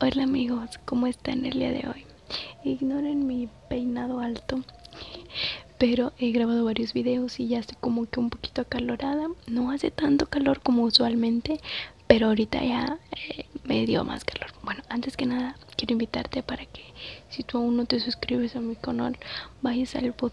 Hola amigos, ¿cómo están el día de hoy? Ignoren mi peinado alto, pero he grabado varios videos y ya estoy como que un poquito acalorada. No hace tanto calor como usualmente, pero ahorita ya eh, me dio más calor. Bueno, antes que nada, quiero invitarte para que si tú aún no te suscribes a mi canal, vayas al botón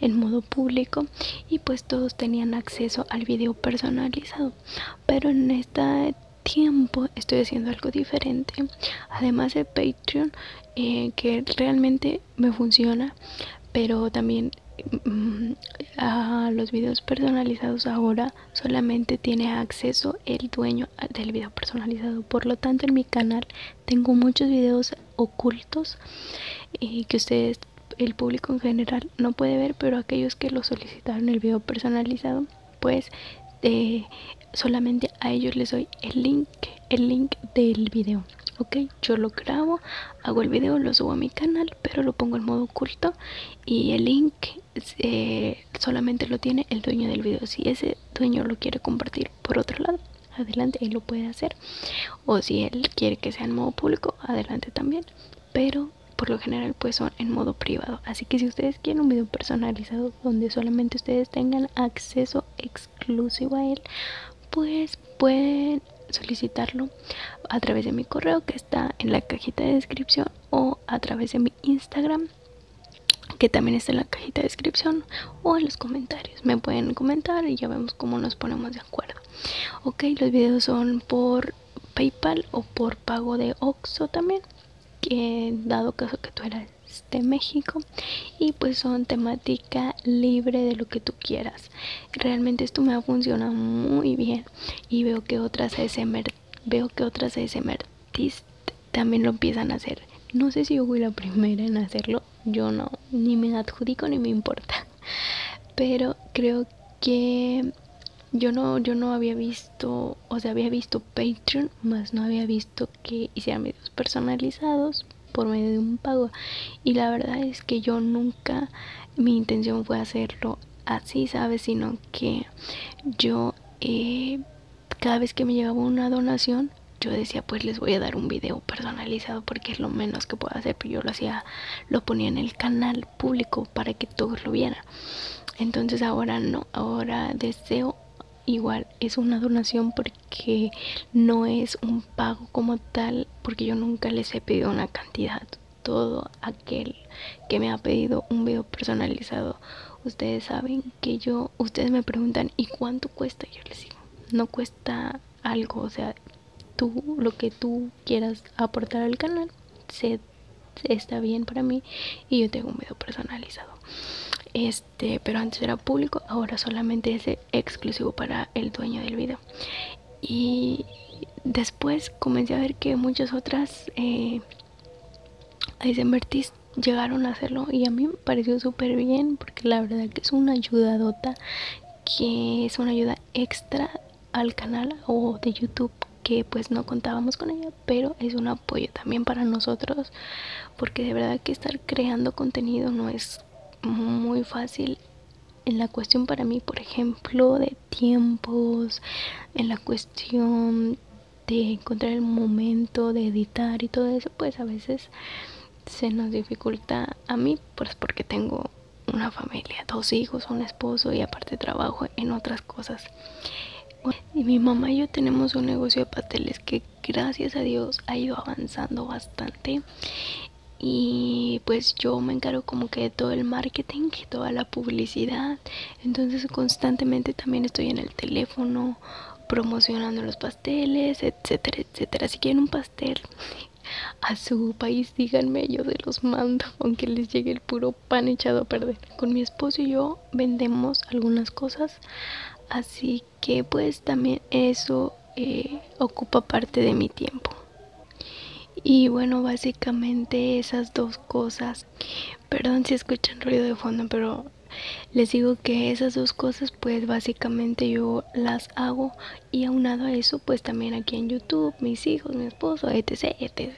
en modo público y pues todos tenían acceso al video personalizado pero en este tiempo estoy haciendo algo diferente además de patreon eh, que realmente me funciona pero también mm, a los videos personalizados ahora solamente tiene acceso el dueño del video personalizado por lo tanto en mi canal tengo muchos videos ocultos eh, que ustedes, el público en general, no puede ver, pero aquellos que lo solicitaron el video personalizado, pues eh, solamente a ellos les doy el link, el link del video. Ok, yo lo grabo, hago el video, lo subo a mi canal, pero lo pongo en modo oculto y el link eh, solamente lo tiene el dueño del video. Si ese dueño lo quiere compartir por otro lado adelante él lo puede hacer o si él quiere que sea en modo público adelante también pero por lo general pues son en modo privado así que si ustedes quieren un video personalizado donde solamente ustedes tengan acceso exclusivo a él pues pueden solicitarlo a través de mi correo que está en la cajita de descripción o a través de mi instagram que también está en la cajita de descripción o en los comentarios. Me pueden comentar y ya vemos cómo nos ponemos de acuerdo. Ok, los videos son por PayPal o por pago de Oxxo también, que dado caso que tú eras de México y pues son temática libre de lo que tú quieras. Realmente esto me ha funcionado muy bien y veo que otras ASMR, veo que otras también lo empiezan a hacer. No sé si yo fui la primera en hacerlo, yo no, ni me adjudico ni me importa. Pero creo que yo no, yo no había visto, o sea, había visto Patreon, más no había visto que hicieran medios personalizados por medio de un pago. Y la verdad es que yo nunca, mi intención fue hacerlo así, ¿sabes? Sino que yo he eh, cada vez que me llegaba una donación, yo decía, pues les voy a dar un video personalizado porque es lo menos que puedo hacer, pero yo lo hacía, lo ponía en el canal público para que todos lo vieran. Entonces ahora no, ahora deseo igual, es una donación porque no es un pago como tal, porque yo nunca les he pedido una cantidad. Todo aquel que me ha pedido un video personalizado ustedes saben que yo, ustedes me preguntan, ¿y cuánto cuesta? Yo les digo, no cuesta algo, o sea, tú, lo que tú quieras aportar al canal, se, está bien para mí y yo tengo un video personalizado. Este, pero antes era público, ahora solamente es exclusivo para el dueño del video. Y después comencé a ver que muchas otras eh, a llegaron a hacerlo y a mí me pareció súper bien porque la verdad que es una ayuda dota que es una ayuda extra al canal o de YouTube que pues no contábamos con ella, pero es un apoyo también para nosotros, porque de verdad que estar creando contenido no es muy fácil en la cuestión para mí, por ejemplo, de tiempos, en la cuestión de encontrar el momento de editar y todo eso pues a veces se nos dificulta a mí pues porque tengo una familia dos hijos un esposo y aparte trabajo en otras cosas y mi mamá y yo tenemos un negocio de pasteles que gracias a Dios ha ido avanzando bastante y pues yo me encargo como que de todo el marketing y toda la publicidad entonces constantemente también estoy en el teléfono promocionando los pasteles etcétera etcétera si quieren un pastel a su país díganme yo se los mando aunque les llegue el puro pan echado a perder con mi esposo y yo vendemos algunas cosas así que pues también eso eh, ocupa parte de mi tiempo y bueno básicamente esas dos cosas Perdón si escuchan ruido de fondo, pero les digo que esas dos cosas pues básicamente yo las hago y aunado a eso pues también aquí en YouTube, mis hijos, mi esposo, etc, etc.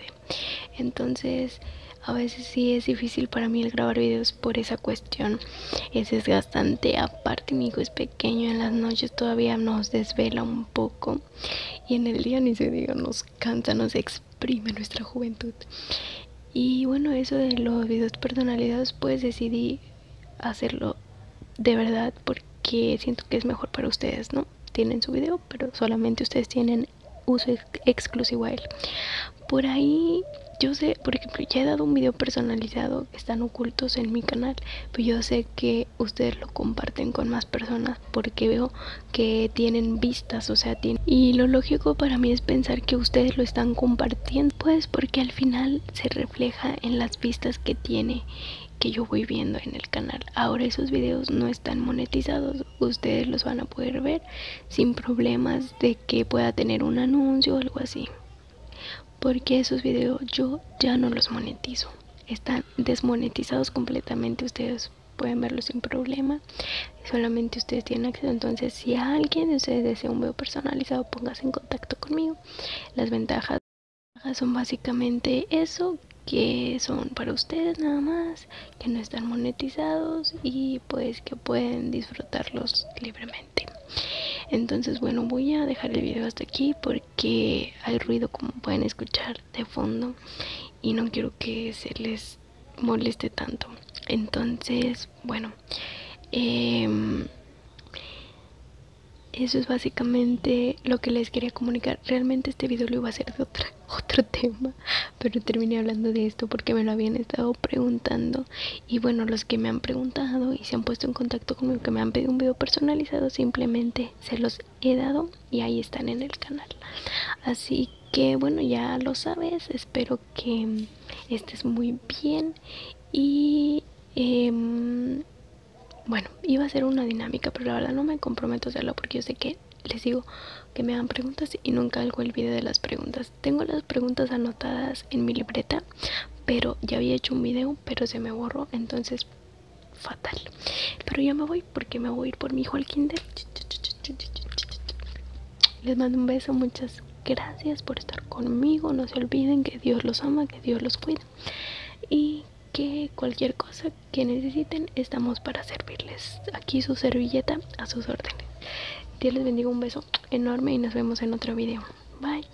Entonces a veces sí es difícil para mí el grabar videos por esa cuestión. Es desgastante. Aparte mi hijo es pequeño, en las noches todavía nos desvela un poco. Y en el día ni se diga, nos canta nos exprime nuestra juventud. Y bueno, eso de los videos personalizados, pues decidí hacerlo de verdad porque siento que es mejor para ustedes, ¿no? Tienen su video, pero solamente ustedes tienen uso exclusivo a él. Por ahí, yo sé, por ejemplo, ya he dado un video personalizado, están ocultos en mi canal, pero yo sé que ustedes lo comparten con más personas porque veo que tienen vistas, o sea, tienen... Y lo lógico para mí es pensar que ustedes lo están compartiendo, pues porque al final se refleja en las vistas que tiene que yo voy viendo en el canal. Ahora esos videos no están monetizados, ustedes los van a poder ver sin problemas de que pueda tener un anuncio o algo así. Porque esos videos yo ya no los monetizo. Están desmonetizados completamente. Ustedes pueden verlos sin problema. Solamente ustedes tienen acceso. Entonces, si alguien de ustedes desea un video personalizado, póngase en contacto conmigo. Las ventajas son básicamente eso que son para ustedes nada más, que no están monetizados y pues que pueden disfrutarlos libremente. Entonces, bueno, voy a dejar el video hasta aquí porque que hay ruido como pueden escuchar de fondo y no quiero que se les moleste tanto entonces bueno em, eso es básicamente lo que les quería comunicar realmente este video lo iba a hacer de otra, otro tema pero terminé hablando de esto porque me lo habían estado preguntando y bueno los que me han preguntado y se han puesto en contacto conmigo que me han pedido un video personalizado simplemente se los he dado y ahí están en el canal. Así que bueno, ya lo sabes, espero que estés muy bien y... Em, bueno, iba a ser una dinámica, pero la verdad no me comprometo a hacerlo porque yo sé que les digo que me hagan preguntas y nunca hago el video de las preguntas. Tengo las preguntas anotadas en mi libreta, pero ya había hecho un video, pero se me borró, entonces fatal. Pero ya me voy porque me voy a ir por mi hijo al kinder. Les mando un beso, muchas gracias por estar conmigo. No se olviden que Dios los ama, que Dios los cuida. Y que cualquier cosa que necesiten, estamos para servirles. Aquí su servilleta a sus órdenes. Dios les bendiga, un beso enorme y nos vemos en otro video. Bye.